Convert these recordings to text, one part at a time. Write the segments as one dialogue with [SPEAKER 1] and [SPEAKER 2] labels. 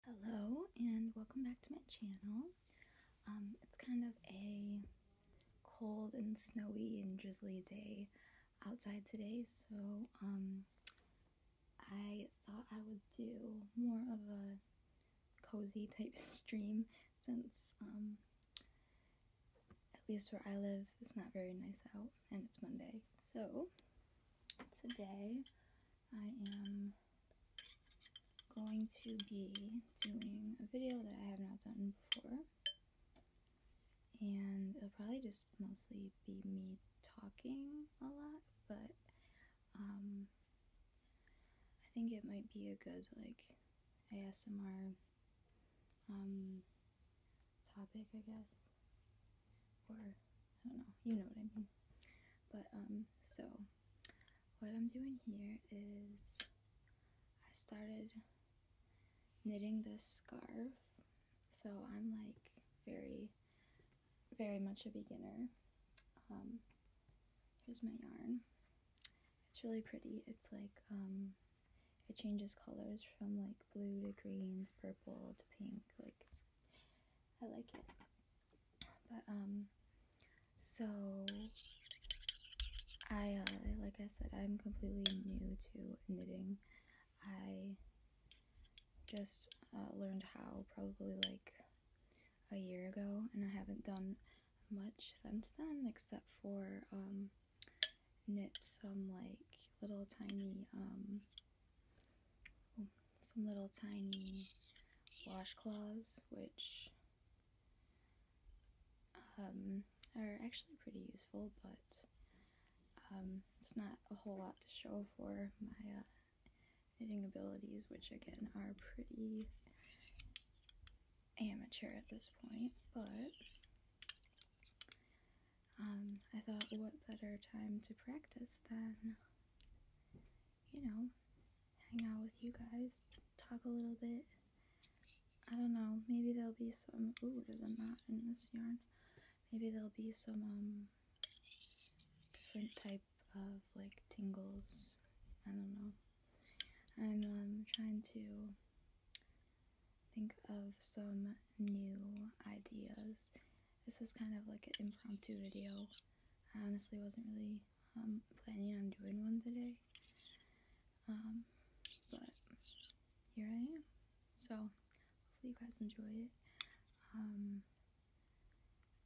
[SPEAKER 1] Hello and welcome back to my channel. Um, it's kind of a cold and snowy and drizzly day outside today, so um, I thought I would do more of a cozy type stream since um, at least where I live it's not very nice out and it's Monday. So today I am going to be doing a video that I have not done before. And it'll probably just mostly be me talking a lot, but um, I think it might be a good, like, ASMR um, topic, I guess, or I don't know, you know what I mean. But um, so what I'm doing here is I started knitting this scarf, so I'm like very, very much a beginner. Um, here's my yarn. It's really pretty. It's like um, it changes colors from like blue to green to purple to pink. Like it's I like it. But um so I uh, like I said I'm completely new to knitting. I just uh, learned how probably like a year ago and I haven't done much since then except for um knit some like little tiny um some little tiny washcloths, which um, are actually pretty useful, but um, it's not a whole lot to show for my uh, knitting abilities, which again are pretty amateur at this point, but um, I thought what better time to practice than you know, hang out with you guys, talk a little bit. I don't know, maybe there'll be some, ooh, there's a knot in this yarn. Maybe there'll be some, um, different type of, like, tingles. I don't know. I'm, um, trying to think of some new ideas this is kind of like an impromptu video. I honestly wasn't really um, planning on doing one today. Um, but here I am. So hopefully you guys enjoy it. Um,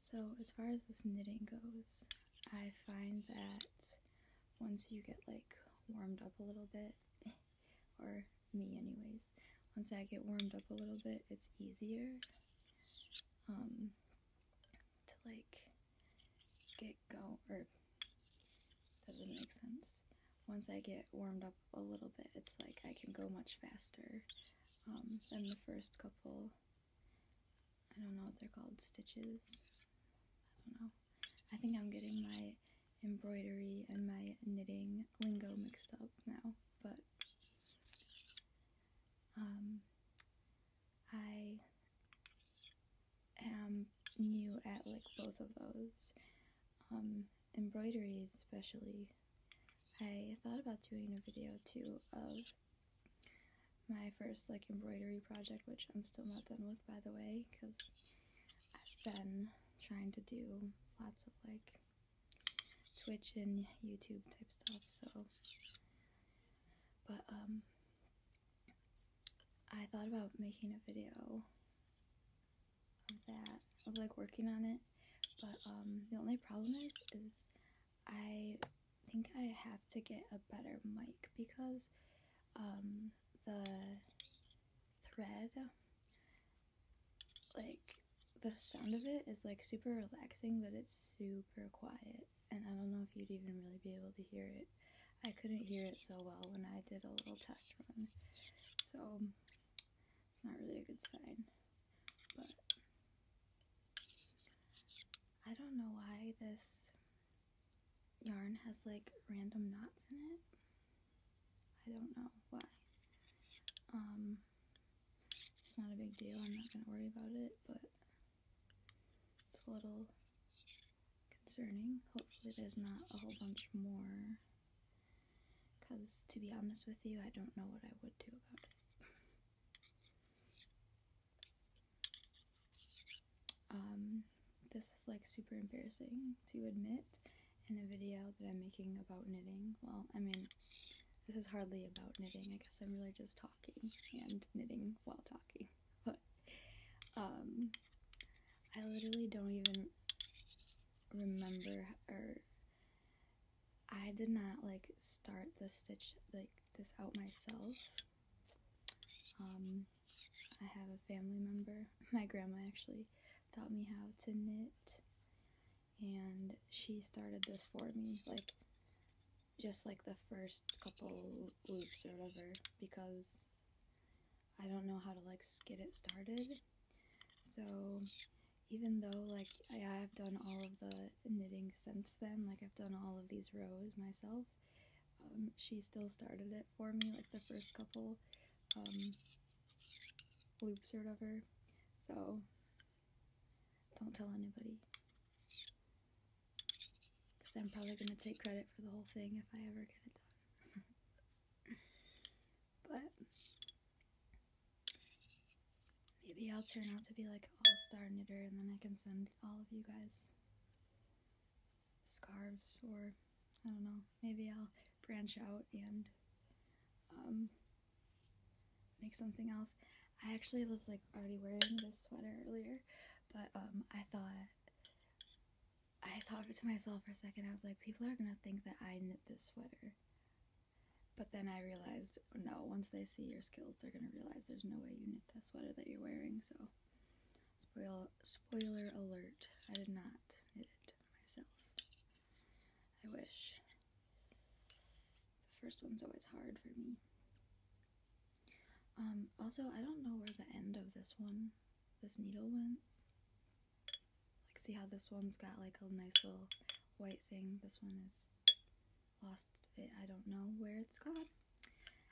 [SPEAKER 1] so as far as this knitting goes, I find that once you get like warmed up a little bit or me anyways. Once I get warmed up a little bit, it's easier um, to like get go or doesn't make sense. Once I get warmed up a little bit, it's like I can go much faster um, than the first couple. I don't know what they're called, stitches. I don't know. I think I'm getting my embroidery and my knitting lingo mixed up now, but um, I am new at like both of those. Um, embroidery especially. I thought about doing a video too of my first like embroidery project, which I'm still not done with by the way, because I've been trying to do lots of like Twitch and YouTube type stuff. So, but um, I thought about making a video of that, of like working on it. But um, the only problem is, is I think I have to get a better mic because um, the thread like the sound of it is like super relaxing, but it's super quiet. And I don't know if you'd even really be able to hear it. I couldn't hear it so well when I did a little test run. So it's not really a good sign. But I don't know why this yarn has like random knots in it. I don't know why. Um, it's not a big deal. I'm not going to worry about it, but it's a little concerning. Hopefully there's not a whole bunch more. Because, to be honest with you, I don't know what I would do about it. Um, this is like super embarrassing to admit in a video that I'm making about knitting. Well, I mean, this is hardly about knitting. I guess I'm really just talking and knitting while talking. But, um, I literally don't even remember or I did not like start the stitch like this out myself. Um, I have a family member, my grandma actually, taught me how to knit and she started this for me like just like the first couple loops or whatever because I don't know how to like get it started so even though like I have done all of the knitting since then like I've done all of these rows myself um, she still started it for me like the first couple um, loops or whatever. So don't tell anybody. Because I'm probably going to take credit for the whole thing if I ever get it done. but maybe I'll turn out to be like all-star knitter and then I can send all of you guys scarves or I don't know maybe I'll branch out and um, make something else. I actually was like already wearing this sweater earlier, but um, I thought I thought to myself for a second. I was like, people are gonna think that I knit this sweater. But then I realized, oh, no. Once they see your skills, they're gonna realize there's no way you knit that sweater that you're wearing. So, spoiler spoiler alert. I did not knit it myself. I wish. The first one's always hard for me. Um, also, I don't know where the end of this one, this needle went. Like, see how this one's got like a nice little white thing. This one is lost I don't know where it's gone.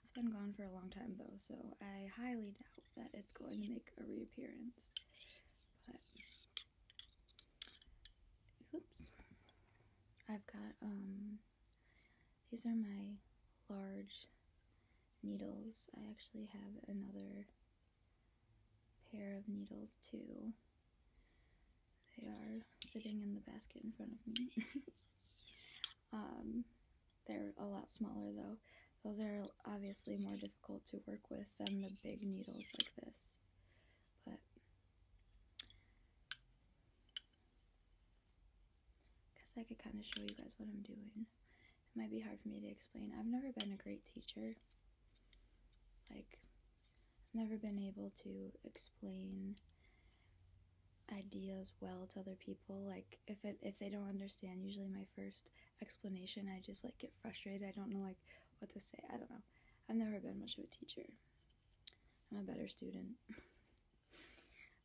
[SPEAKER 1] It's been gone for a long time though, so I highly doubt that it's going to make a reappearance. oops. I've got, um, these are my large needles. I actually have another pair of needles too. They are sitting in the basket in front of me. um, they're a lot smaller though. Those are obviously more difficult to work with than the big needles like this. But I guess I could kind of show you guys what I'm doing. It might be hard for me to explain. I've never been a great teacher. Like, never been able to explain ideas well to other people like if it, if they don't understand usually my first explanation. I just like get frustrated. I don't know like what to say. I don't know. I've never been much of a teacher. I'm a better student.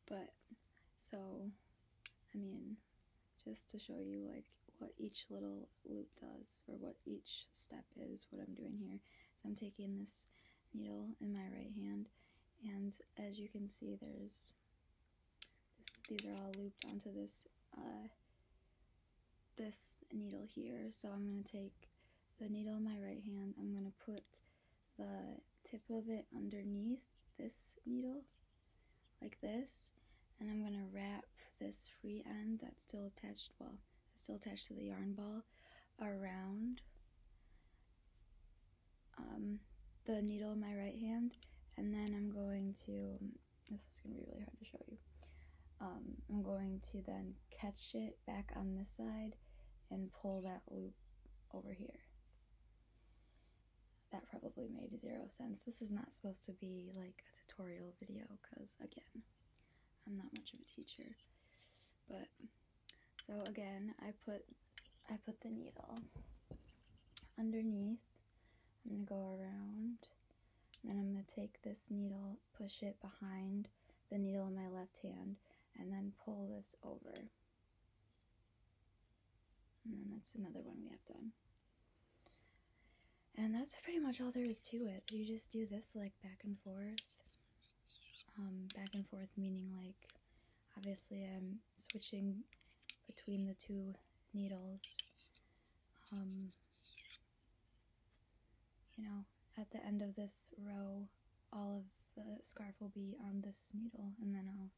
[SPEAKER 1] but so I mean, just to show you like what each little loop does or what each step is, what I'm doing here. So I'm taking this needle in my right hand and as you can see there's these are all looped onto this uh, this needle here. So I'm going to take the needle in my right hand. I'm going to put the tip of it underneath this needle like this. And I'm going to wrap this free end that's still attached, well, still attached to the yarn ball around um, the needle in my right hand, and then I'm going to. This is gonna be really hard to show you. Um, I'm going to then catch it back on this side and pull that loop over here. That probably made zero sense. This is not supposed to be like a tutorial video because, again, I'm not much of a teacher. But, so again, I put I put the needle underneath. I'm going to go around. Then I'm going to take this needle, push it behind the needle in my left hand, and then pull this over. And then that's another one we have done. And that's pretty much all there is to it. you just do this like back and forth. Um, back and forth meaning like obviously I'm switching between the two needles. Um, you know, at the end of this row, all of the scarf will be on this needle, and then I'll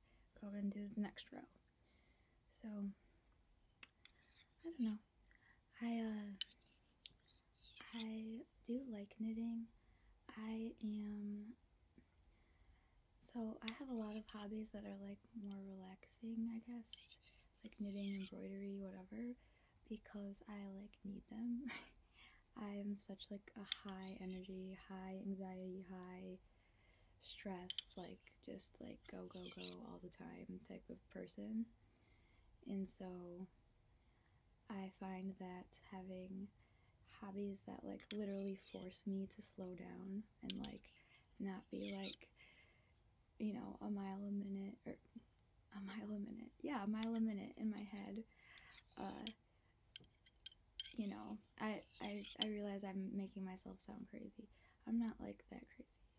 [SPEAKER 1] go and do the next row. So, I don't know. I, uh, I do like knitting. I am so I have a lot of hobbies that are like more relaxing, I guess, like knitting, embroidery, whatever, because I like need them. I'm such like a high energy, high anxiety, high stress, like just like go go go all the time type of person. And so I find that having hobbies that like literally force me to slow down and like not be like you know a mile a minute or a mile a minute yeah a mile a minute in my head uh you know i i i realize i'm making myself sound crazy i'm not like that crazy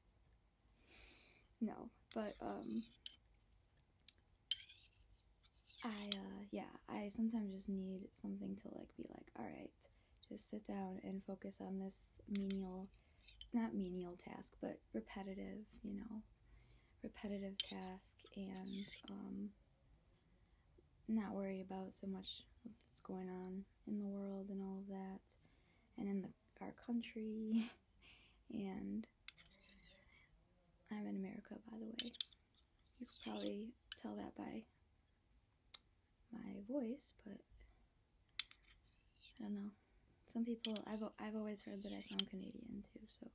[SPEAKER 1] no but um I uh yeah, I sometimes just need something to like be like, all right, just sit down and focus on this menial not menial task, but repetitive, you know, repetitive task and um not worry about so much what's going on in the world and all of that and in our country and I'm in America by the way. You could probably tell that by my voice, but I don't know. Some people, I've, I've always heard that I sound Canadian too, so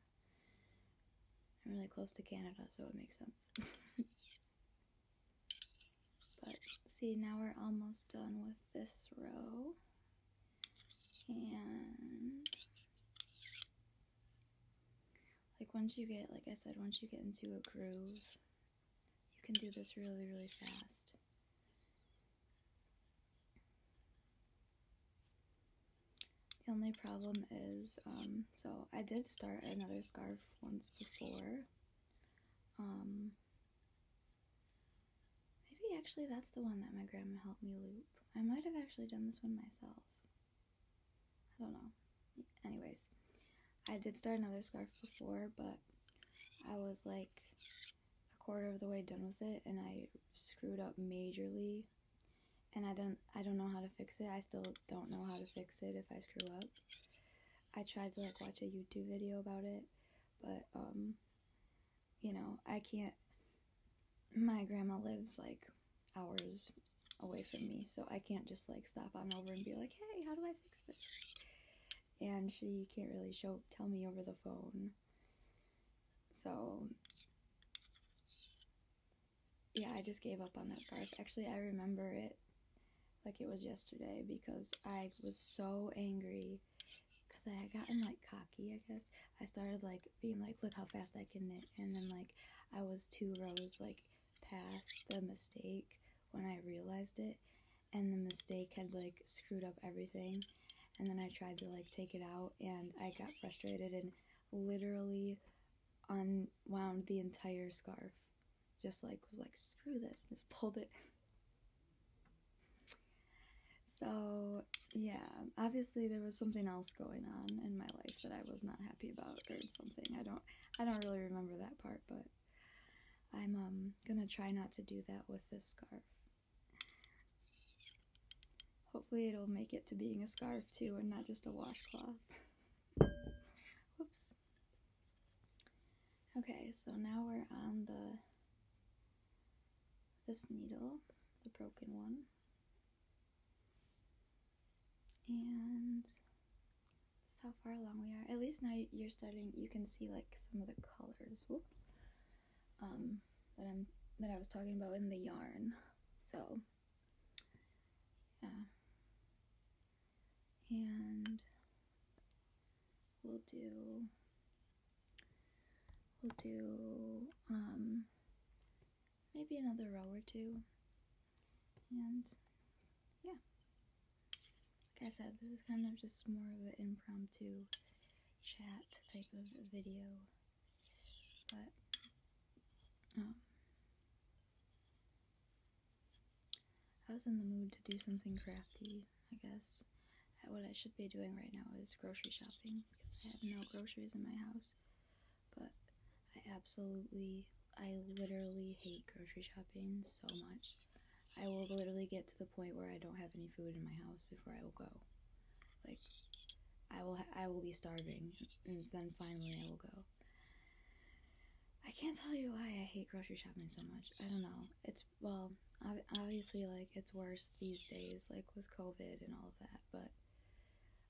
[SPEAKER 1] I'm really close to Canada, so it makes sense. but see, now we're almost done with this row. And like once you get, like I said, once you get into a groove, you can do this really, really fast. The only problem is, um, so I did start another scarf once before. Um, maybe actually that's the one that my grandma helped me loop. I might have actually done this one myself. I don't know. Anyways, I did start another scarf before, but I was like a quarter of the way done with it and I screwed up majorly and I don't I don't know how to fix it. I still don't know how to fix it if I screw up. I tried to like watch a YouTube video about it, but um you know, I can't my grandma lives like hours away from me. So I can't just like stop on over and be like, hey, how do I fix this? And she can't really show tell me over the phone. So yeah, I just gave up on that scarf. Actually, I remember it like it was yesterday because I was so angry because I had gotten like cocky, I guess. I started like being like, look how fast I can knit, and then like I was two rows like past the mistake when I realized it, and the mistake had like screwed up everything, and then I tried to like take it out, and I got frustrated and literally unwound the entire scarf, just like was like screw this, just pulled it. So, yeah, obviously there was something else going on in my life that I was not about or something. I don't I don't really remember that part, but I'm um, gonna try not to do that with this scarf. Hopefully it'll make it to being a scarf too and not just a washcloth. Whoops. Okay, so now we're on the this needle, the broken one. And that's how far along we are. At least now you're starting, you can see like some of the colors. Whoops. Um, that I'm that I was talking about in the yarn. So, yeah. And we'll do we'll do um maybe another row or two. And yeah, like I said, this is kind of just more of an impromptu chat type of video, but um, I was in the mood to do something crafty, I guess. What I should be doing right now is grocery shopping because I have no groceries in my house but I absolutely, I literally hate grocery shopping so much. I will literally get to the point where I don't have any food in my house before I will go. Like, I will, I will be starving, and then finally I will go. I can't tell you why I hate grocery shopping so much. I don't know. It's well, obviously, like it's worse these days, like with COVID and all of that. But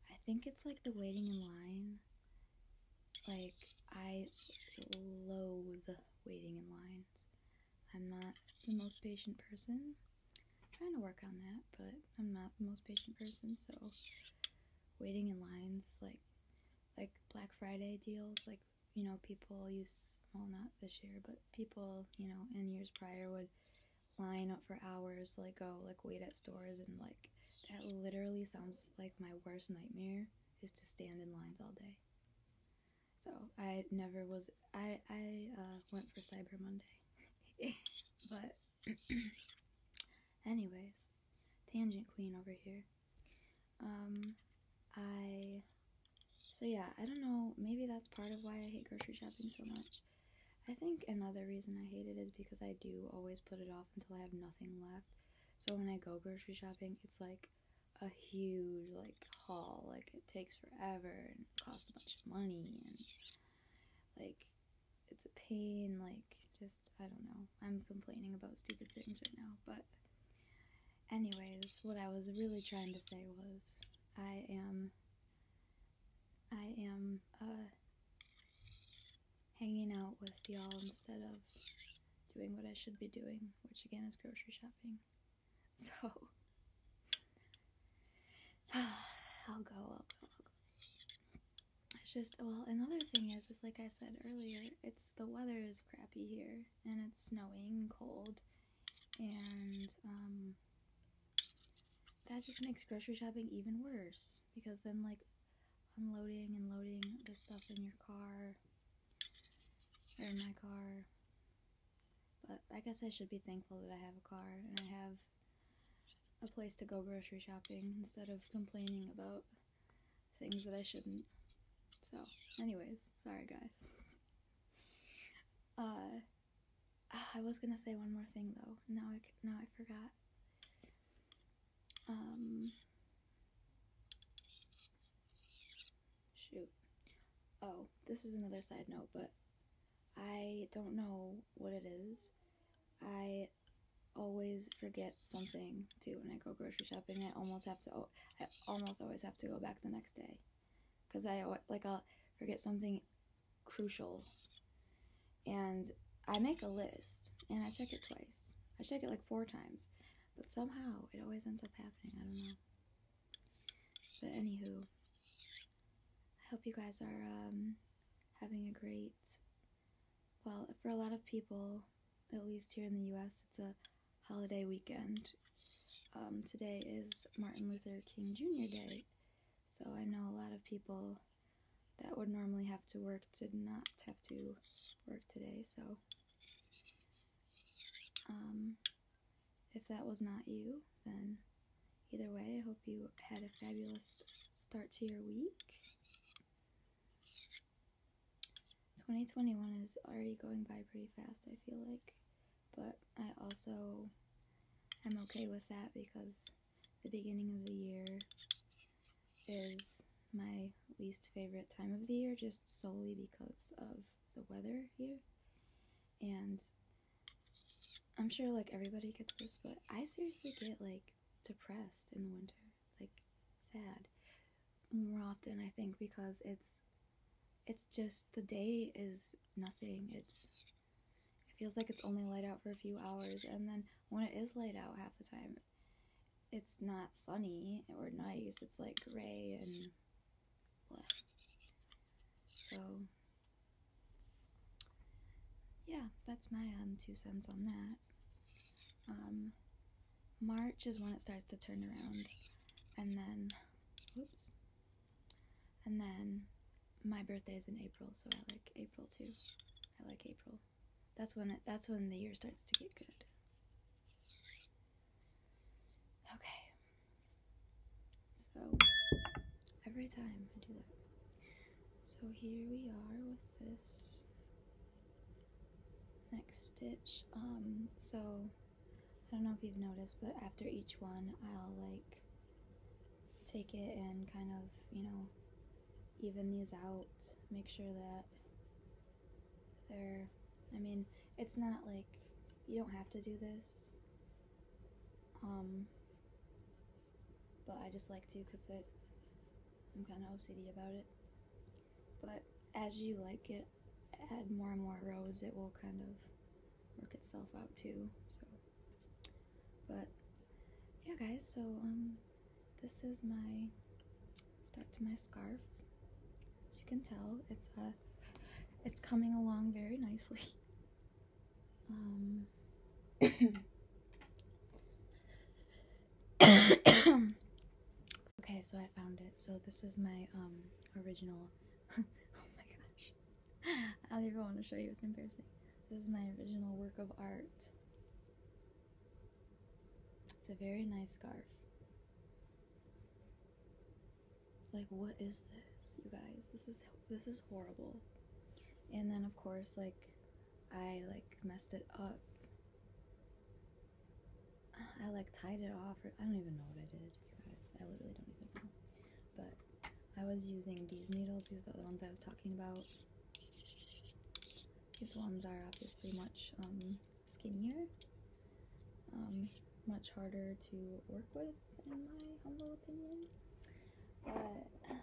[SPEAKER 1] I think it's like the waiting in line. Like, I loathe waiting in lines. I'm not the most patient person. trying to work on that, but I'm not the most patient person, so waiting in lines, like, like Black Friday deals, like, you know, people used, well, not this year, but people, you know, in years prior would line up for hours like oh, like wait at stores and like that literally sounds like my worst nightmare is to stand in lines all day. So I never was I I uh, went for Cyber Monday, but anyways, tangent queen over here. Um, I so yeah I don't know maybe that's part of why I hate grocery shopping so much. I think another reason I hate it is because I do always put it off until I have nothing left. So when I go grocery shopping, it's like a huge like haul. Like it takes forever and costs a bunch of money and like it's a pain. Like just I don't know. I'm complaining about stupid things right now, but anyways, what I was really trying to say was I am I am uh, hanging out with y'all instead of doing what I should be doing, which again is grocery shopping. So, I'll go, I'll go, It's just, well, another thing is, is like I said earlier, it's the weather is crappy here, and it's snowing, cold, and um, that just makes grocery shopping even worse because then like unloading and loading the stuff in your car or in my car but I guess I should be thankful that I have a car and I have a place to go grocery shopping instead of complaining about things that I shouldn't so anyways sorry guys uh Ah, I was gonna say one more thing though. Now I now I forgot. Um. Shoot. Oh, this is another side note, but I don't know what it is. I always forget something too when I go grocery shopping. I almost have to. I almost always have to go back the next day because I like I'll forget something crucial. And I make a list and I check it twice. I check it like four times, but somehow it always ends up happening. I don't know. But anywho, I hope you guys are um, having a great. Well, for a lot of people, at least here in the U.S., it's a holiday weekend. Um, today is Martin Luther King Jr. Day. So I know a lot of people that would normally have to work did not have to work today. So um, if that was not you, then either way, I hope you had a fabulous start to your week. 2021 is already going by pretty fast, I feel like but I also am okay with that because the beginning of the year is my least favorite time of the year just solely because of the weather here. And I'm sure like everybody gets this, but I seriously get like depressed in the winter, like sad more often I think because it's it's just the day is nothing. It's it feels like it's only light out for a few hours and then when it is light out half the time it's not sunny or nice. It's like gray and bleh. So yeah, that's my um two cents on that. Um March is when it starts to turn around and then whoops and then my birthday is in April, so I like April too. I like April. That's when that's when the year starts to get good. Okay. So every time I do that. So here we are with this next stitch. Um so I don't know if you've noticed, but after each one, I'll like take it and kind of, you know, even these out, make sure that they're, I mean, it's not like you don't have to do this. Um, but I just like to because I'm kind of OCD about it. But as you like it, add more and more rows, it will kind of work itself out too. So, but yeah, guys. So um, this is my start to my scarf. As you can tell, it's a it's coming along very nicely. Um. okay, so I found it. So this is my um original oh my gosh. I don't even want to show you. It's embarrassing. This is my original work of art. It's a very nice scarf. Like, what is this, you guys? This is this is horrible. And then, of course, like, I like messed it up. I like tied it off. I don't even know what I did, guys. I literally don't even know. But I was using these needles. These are the ones I was talking about. These ones are obviously much um, skinnier, um, much harder to work with, in my humble opinion. But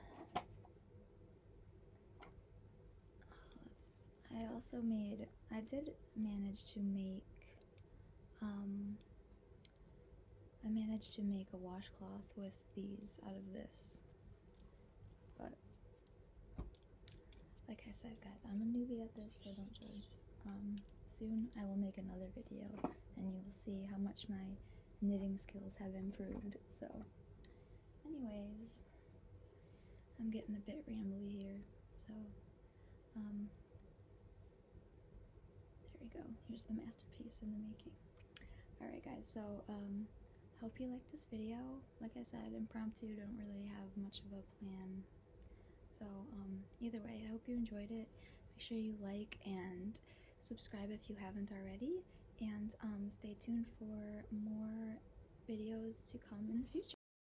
[SPEAKER 1] I also made, I did manage to make um, I managed to make a washcloth with these out of this. But, like I said, guys, I'm a newbie at this, so don't judge. Um, soon I will make another video and you will see how much my knitting skills have improved. So, anyways, I'm getting a bit rambly here, so um, there we go. Here's the masterpiece in the making. Alright guys, so I um, hope you liked this video. Like I said, impromptu, don't really have much of a plan. So um, either way, I hope you enjoyed it. Make sure you like and subscribe if you haven't already. And um, stay tuned for more videos to come in the future.